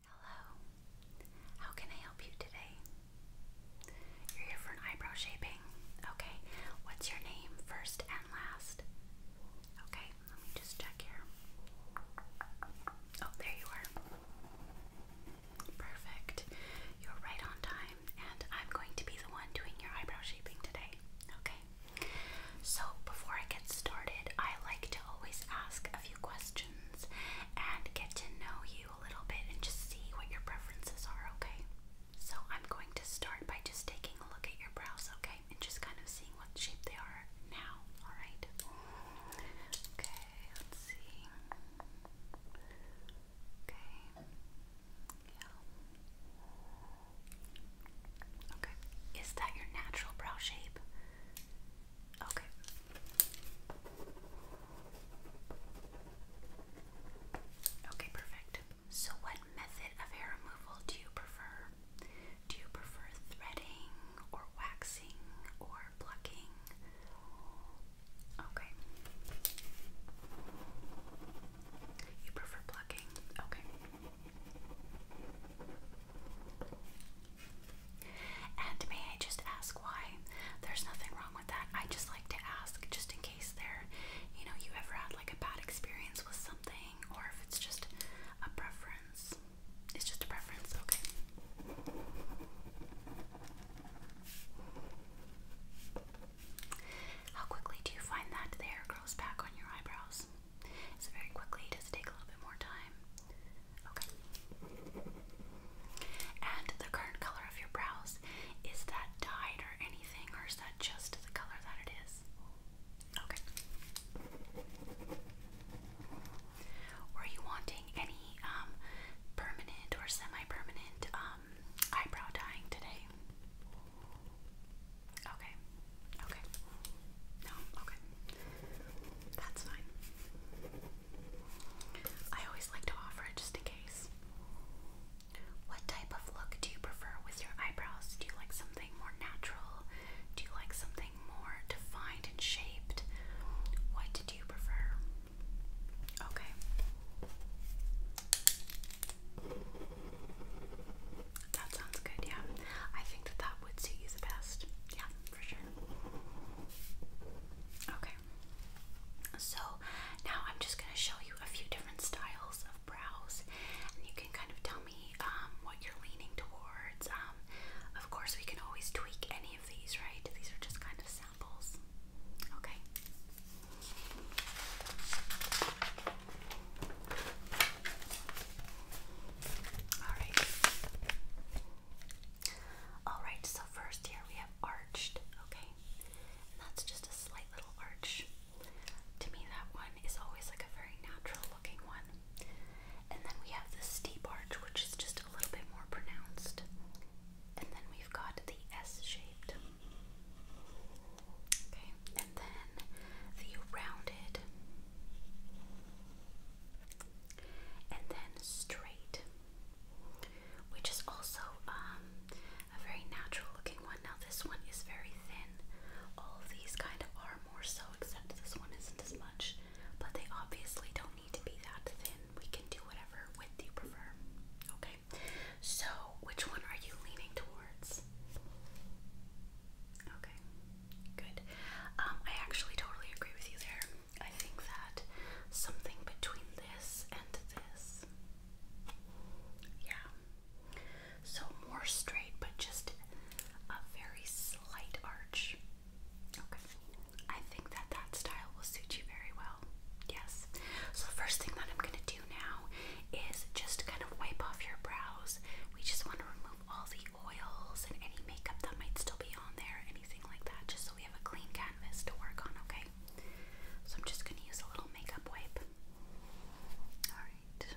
Hello. How can I help you today? You're here for an eyebrow shaping. Okay. What's your name, first and last? Okay, let me just check here. Oh, there you are. Perfect. You're right on time, and I'm going to be the one doing your eyebrow shaping today. Okay. So, before I get started, I like to always ask a few questions and get to know you a little bit and just see what your preferences are, okay? So I'm going to start by just taking a look at your brows, okay? And just kind of seeing what shape they are now, alright? Okay, let's see. Okay. Yeah. Okay. Is that your natural brow shape? Okay. Okay, perfect. So, what method of hair removal do you prefer? Do you prefer threading or waxing or plucking? Okay. You prefer plucking? Okay. And may I just ask why? There's nothing wrong with that. I just like to ask just in case there, you know, you ever had like a bad experience with something or if it's just a preference. It's just a preference, okay. How quickly do you find that the hair grows back on your eyebrows? Is very quickly? Does it take a little bit more time? Okay. And the current color of your brows, is that dyed or anything, or is that just the color that it is? Okay. Were you wanting any um, permanent or semi-permanent um, eyebrow dyeing today? Okay. Okay. No? Okay. That's fine. I always like to offer just in case. What type of look do you prefer with your eyebrows? Do you like something more natural? Do you like something more defined and shaped? What do you prefer? Okay. That sounds good, yeah. I think that that would suit you the best. Yeah, for sure. Okay. So now I'm just gonna show you a few different styles of brows, and you can kind of tell me um, what you're leaning towards. Um, of course, we can always tweak any of these, right? These are just kind of samples. Okay. Alright. Alright, so first here we have arched, okay? And that's just a slight little arch. To me, that one is always like a very natural looking one. And then we have the steep arch, which is just a little bit more pronounced. And then we've got the S shaped. Okay, and then the rounded and then straight, which is also um, a very natural looking one. Now, this one is very thin. All these kind of are more so, except this one isn't as much. But they obviously don't need to be that thin. We can do whatever width you prefer. Okay, so which one are you leaning towards? Okay, good. Um, I actually totally agree with you there. I think that something between this and this. Yeah. So more straight, but just a very slight arch. Okay. I think that that style will suit you very well. Yes. So the first thing that I'm going to do now is just kind of wipe off your brows. We just want to remove all the oils and any makeup that might still be on there, anything like that, just so we have a clean canvas to work on, okay? So I'm just going to use a little makeup wipe. Alright. Okay,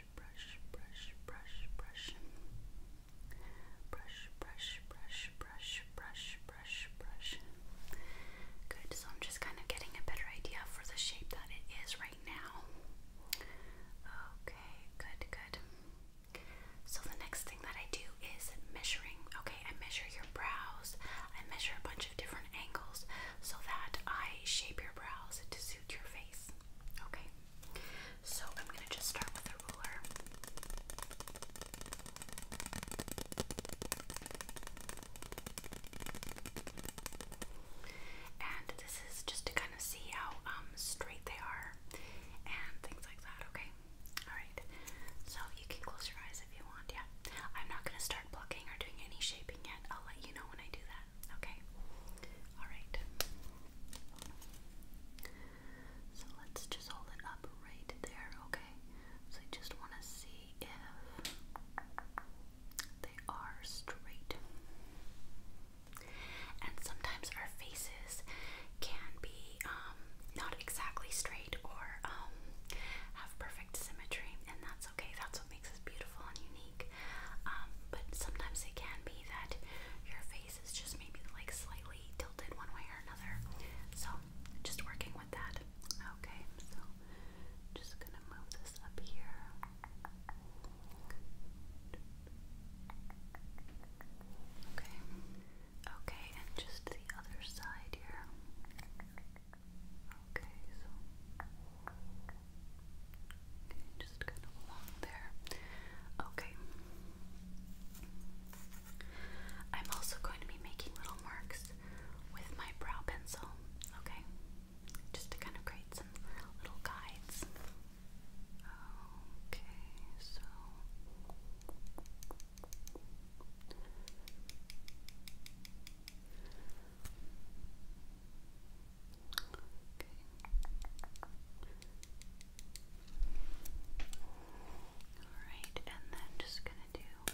brush, brush, brush, brush. Brush, brush, brush, brush, brush, brush, brush. Good, so I'm just kind of getting a better idea for the shape that it is right now. Okay, good, good. So the next thing that I do is measuring. Okay, I measure your brows. I measure a bunch of different angles so that I shape your brows to suit your face. Okay, so I'm going to just start with a ruler. And this is just to kind of see how um, straight they are and things like that, okay? Alright, so you can close your eyes if you want, yeah. I'm not going to start blocking or doing any shaping yet. I'll let you know when I do that. Okay. All right. So let's just hold it up right there, okay? So I just want to see if they are straight. And sometimes our faces can be um, not exactly straight or um, have perfect symmetry, and that's okay. That's what makes us beautiful and unique. Um, but sometimes it can be that your face is just maybe like slightly tilted one way or another. So just working with that. Okay, so just gonna move this up here. Okay. Okay, and just the other side here. Okay, so just kind of along there. Okay. I'm also going to be making little marks with my brow pencil, okay? Just to kind of create some little guides. Okay, so. Alright, and then just gonna do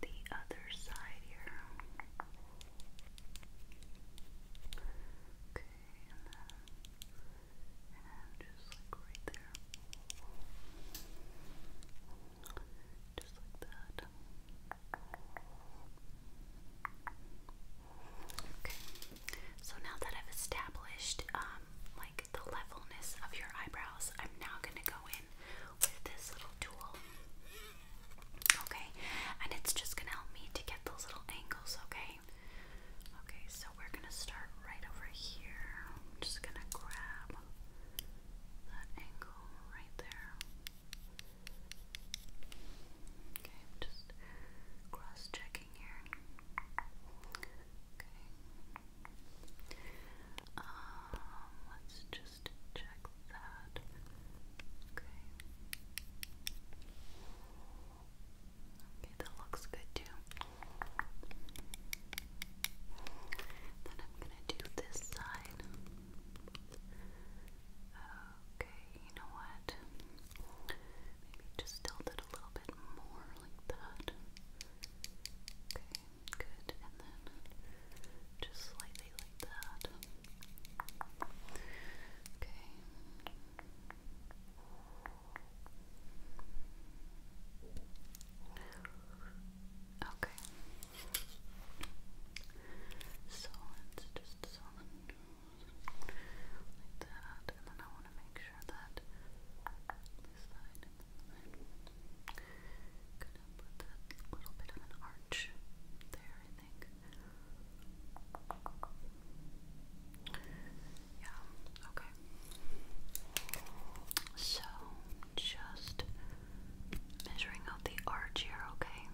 the other side here. Okay, and then just like right there. Just like that. Okay. So now that I've established um, like the levelness of your eyebrows, I'm now gonna go in with this little tool. Okay, and it's just gonna help me to get those little angles, okay? Okay, so we're gonna start right over here. I'm just gonna grab that angle right there. Okay, I'm just cross checking here. Okay. Um, let's just check that. Okay. Okay, that looks good too. Then I'm gonna do this side. Okay, you know what? Maybe just tilt it a little bit more like that. Okay, good. And then just slightly like that. Okay. Okay. So let just zoom like that, and then I want to make sure that this side and Gonna put that little bit of an arch there, I think. Yeah, okay. So, just measuring out the arch here, okay?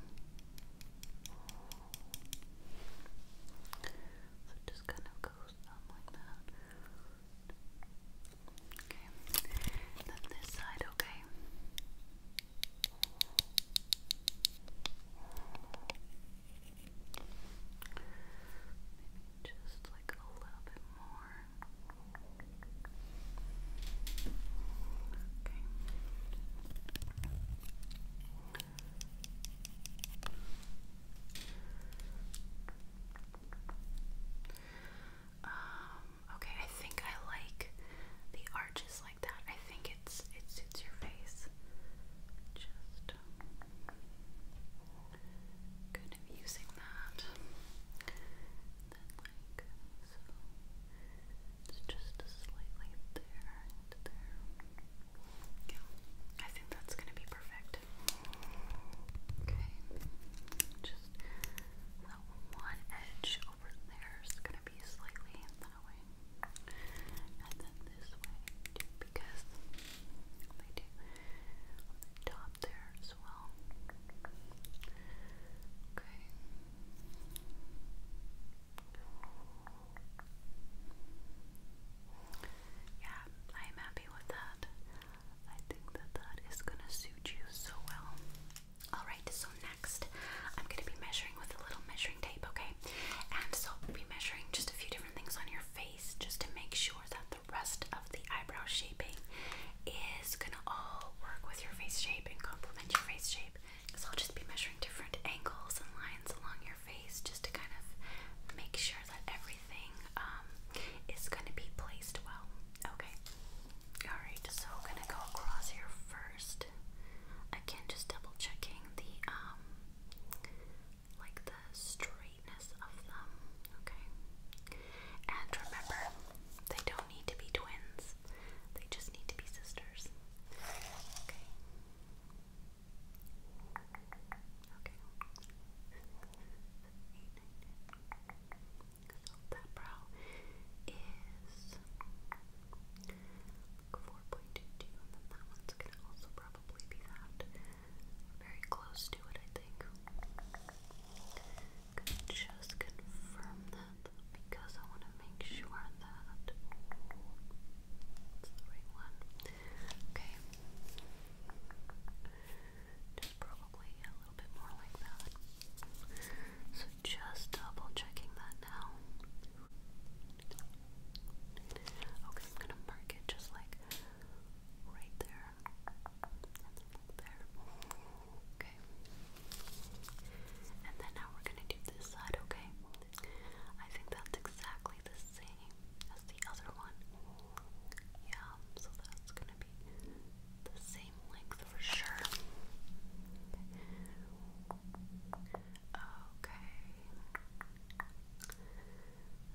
So it just kind of goes on like that. Okay. then this side, okay. Maybe just like a little bit more. Okay. Um, okay, I think I like the arches like that. I think it's it suits your face. Just kind of using that. Then like so. It's just slightly there and there. Yeah, I think that's gonna be perfect. Okay, just that one edge over there is gonna be slightly that way, and then this way because they do on the top there as well. Okay. Yeah, I am happy with that. I think that that is gonna suit you so well. Alright, so next I'm gonna be measuring with a little measuring tape, okay? And so I'll be measuring just a few different things on your face just to make sure that the rest of the eyebrow shaping is gonna all work with your face shape and complement your face shape. So I'll just be measuring different angles and lines along your face just to kind of make sure that everything um, is going to be placed well. Okay. Alright, so I'm going to go across here first. Again, just double checking the, um, like the straightness of them. Okay. And remember, they don't need to be twins. They just need to be sisters. Okay. Okay. that brow is like and that one's gonna also probably be that. Very close to it, I think. just confirm because I want to make sure that it's the right one. Okay. Just probably a little bit more like that. So just double checking that now. Okay, I'm gonna mark it just like right there there. Okay. And then now we're gonna do this side, okay? I think that's exactly the same as the other one. Yeah, so that's gonna be the same length for sure. Okay.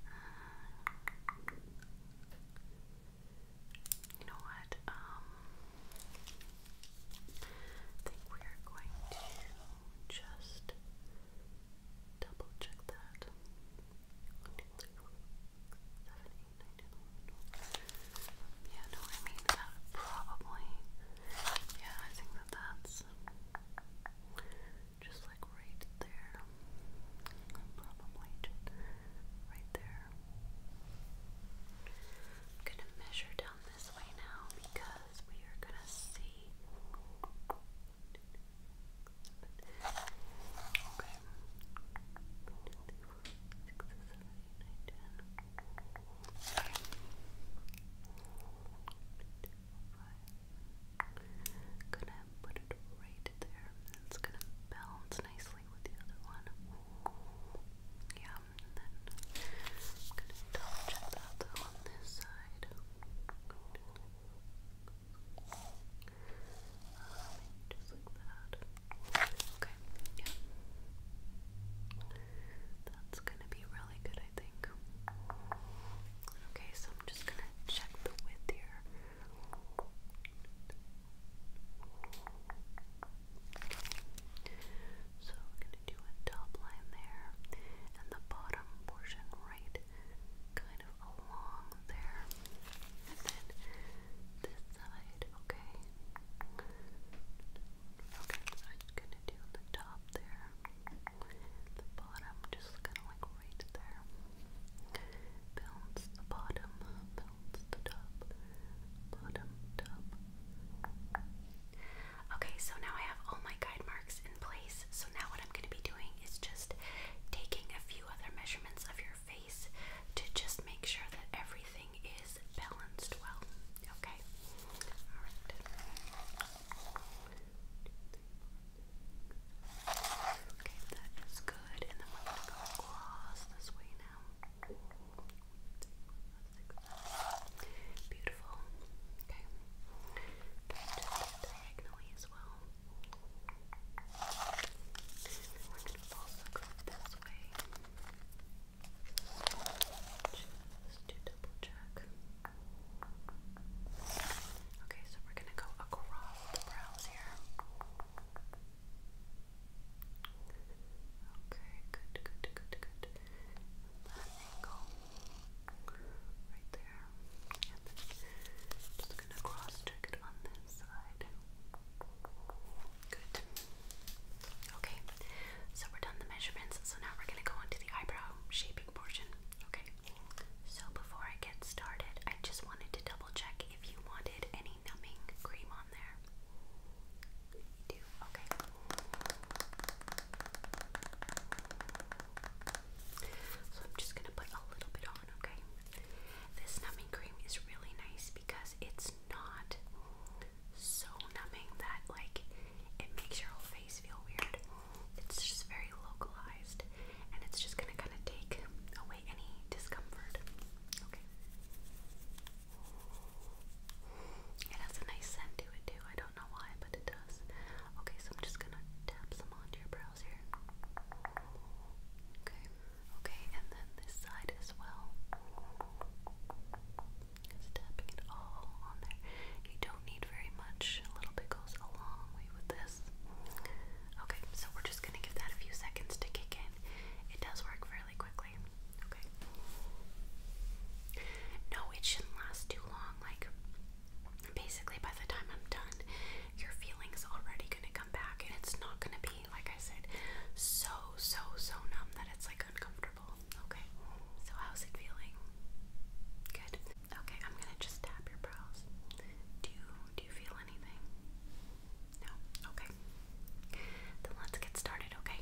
Uh, you know what? Um I think we are going to just double check that. Yeah, no, I mean that probably. Yeah, I think that that's just like right there. Probably just right there. I'm gonna measure down this way now because we are gonna see. Okay. I'm gonna put it right there. It's gonna balance nicely with the other one. Yeah. And then I'm going to double check the other on this side. just like that. Okay, yeah. That's gonna be really good, I think. Okay, so I'm just gonna check the width here. So we're going to do a top line there and the bottom portion right kind of along there. And then this side, okay? Okay, so I'm just going to do the top there, the bottom just kind of like right there. Bounce the bottom, Okay, so now I have all my guide marks in place. So now what I'm going to be doing is just taking a few other measurements of your face to just make sure that everything is balanced well. Okay? Alright. Okay, that is good. And then we're going to go across this way now. Beautiful. Okay. Just diagonally as well. We're going to also go this way. Just to double check. Okay, so we're going to go across the brows here. Okay, good, good, good, good. That angle right there. just gonna cross check it on this side. Good. Okay, so we're done the measurements, so now we're gonna go on to the eyebrow shaping portion. Okay. So before I get started, I just wanted to double check if you wanted any numbing cream on there. So I'm just going to put a little bit on, okay? This numbing cream is really nice because it's not so numbing that, like, it makes your whole face feel weird. It's just very localized and it's just going to kind of take away any discomfort. Okay. It has a nice scent to it too. I don't know why, but it does. Okay, so I'm just gonna tap some onto your brows here. Okay, okay, and then this side as well. Just tapping it all on there. You don't need very much. A little bit goes a long way with this. Okay, so we're just gonna give that a few seconds to kick in. It does work fairly quickly. Okay. No, it shouldn't last too long. Like, basically, by the time I'm done, your feeling's already gonna come back, and it's not gonna be, like I said, so, so, so numb that it's like uncomfortable. Okay. So, how's it feeling? Good. Okay, I'm gonna just tap your brows. Do do you feel anything? No? Okay. Then let's get started, okay?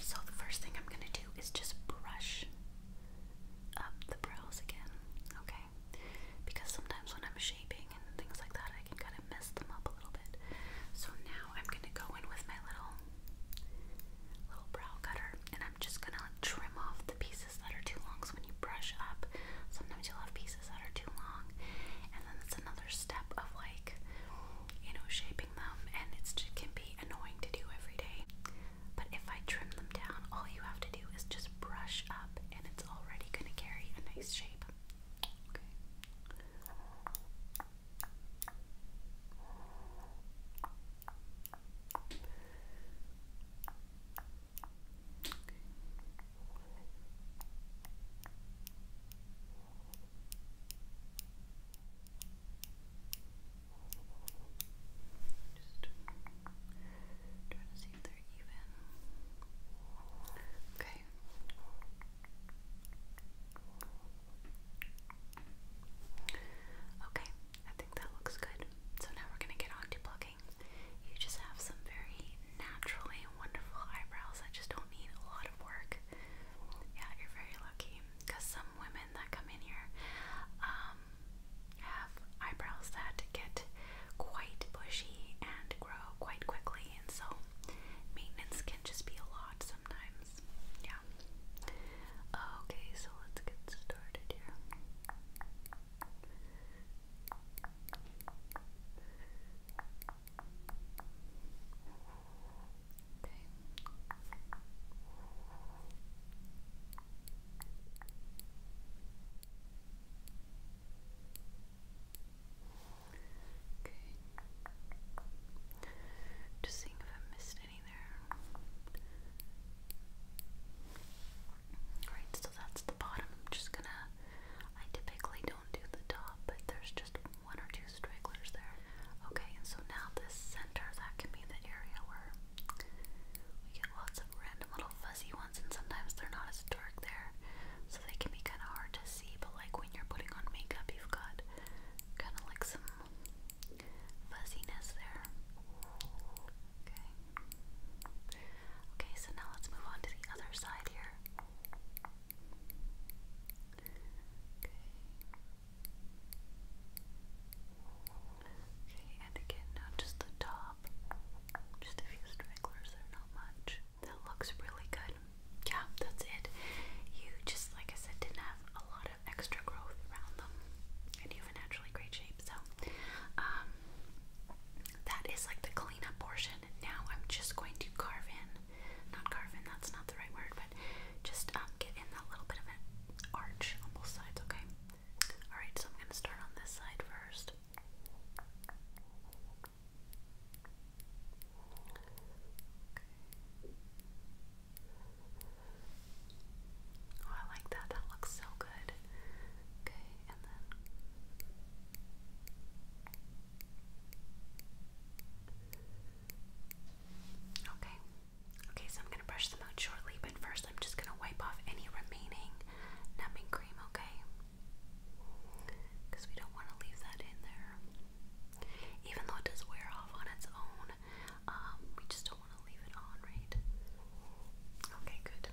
So, the first thing I'm gonna do is just brush up the brows again, okay? Because sometimes when I'm shaping and things like that, I can kind of mess them up a little bit. So, now I'm gonna go in with my little little brow cutter and I'm just gonna trim off the pieces that are too long. So, when you brush up, sometimes you'll have pieces that are too long, and then it's another step of like, you know, shaping them, and it can be annoying to do every day. But if I trim them down, all you have to do is just brush up, and it's already going to carry a nice shape. Okay. Okay. Okay, I think that looks good. So now we're going to get on to plugging. You just have some very naturally wonderful eyebrows that just don't need a lot of work. Yeah, you're very lucky. Because some women that come in here um, have eyebrows that get quite bushy and grow quite quickly, and so maintenance can just be a lot sometimes. Yeah. Okay, so let's get started here. Okay. Okay. Just seeing if I missed any there. Alright, so that's the bottom. I'm just gonna. I typically don't do the top, but there's just one or two stragglers there. Okay, and so now this center, that can be the area where we get lots of random little fuzzy ones, and sometimes they're not as dark there, so they can be kind of hard to see. But like when you're putting on makeup, you've got kind of like some fuzziness there. Okay. Okay, so now let's move on to the other side here. Okay. Okay, and again, not just the top, just a few stragglers, they're not much. That looks really good. Yeah, that's it. You just, like I said, didn't have a lot of extra growth around them, and you have a naturally great shape, so, um, that is like the cleanup portion. Now I'm just going to carve in, not carve in, that's not the right word, but just um, get in that little bit of an arch on both sides, okay? Alright, so I'm going to start on this side first. Oh, I like that. That looks so good. Okay, and then. Okay. Okay, so I'm going to brush them out shortly, but first I'm just going to wipe off any remaining numbing cream, okay? Because we don't want to leave that in there. Even though it does wear off on its own, um, we just don't want to leave it on, right? Okay, good.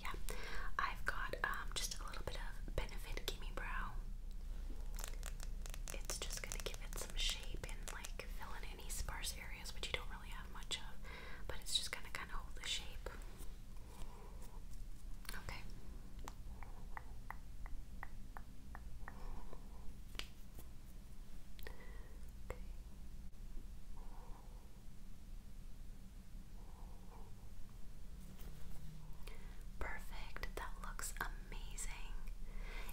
Yeah, I've got um, just a little bit of Benefit Gimme Brow. It's just going to give it some shape and like fill in any sparse areas which you don't really have much of, but it's just going to kind of hold the shape. Okay. Okay. Perfect. That looks amazing.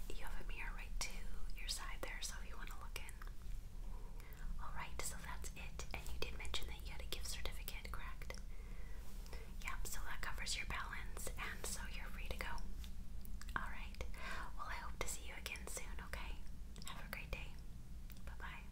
You have a mirror right to your side there, so if you want to look in. Alright, so that's it. And you did mention that you had a gift certificate, correct? Yep, so that covers your balance, and so you're free to go. Alright, well, I hope to see you again soon, okay? Have a great day. Bye bye.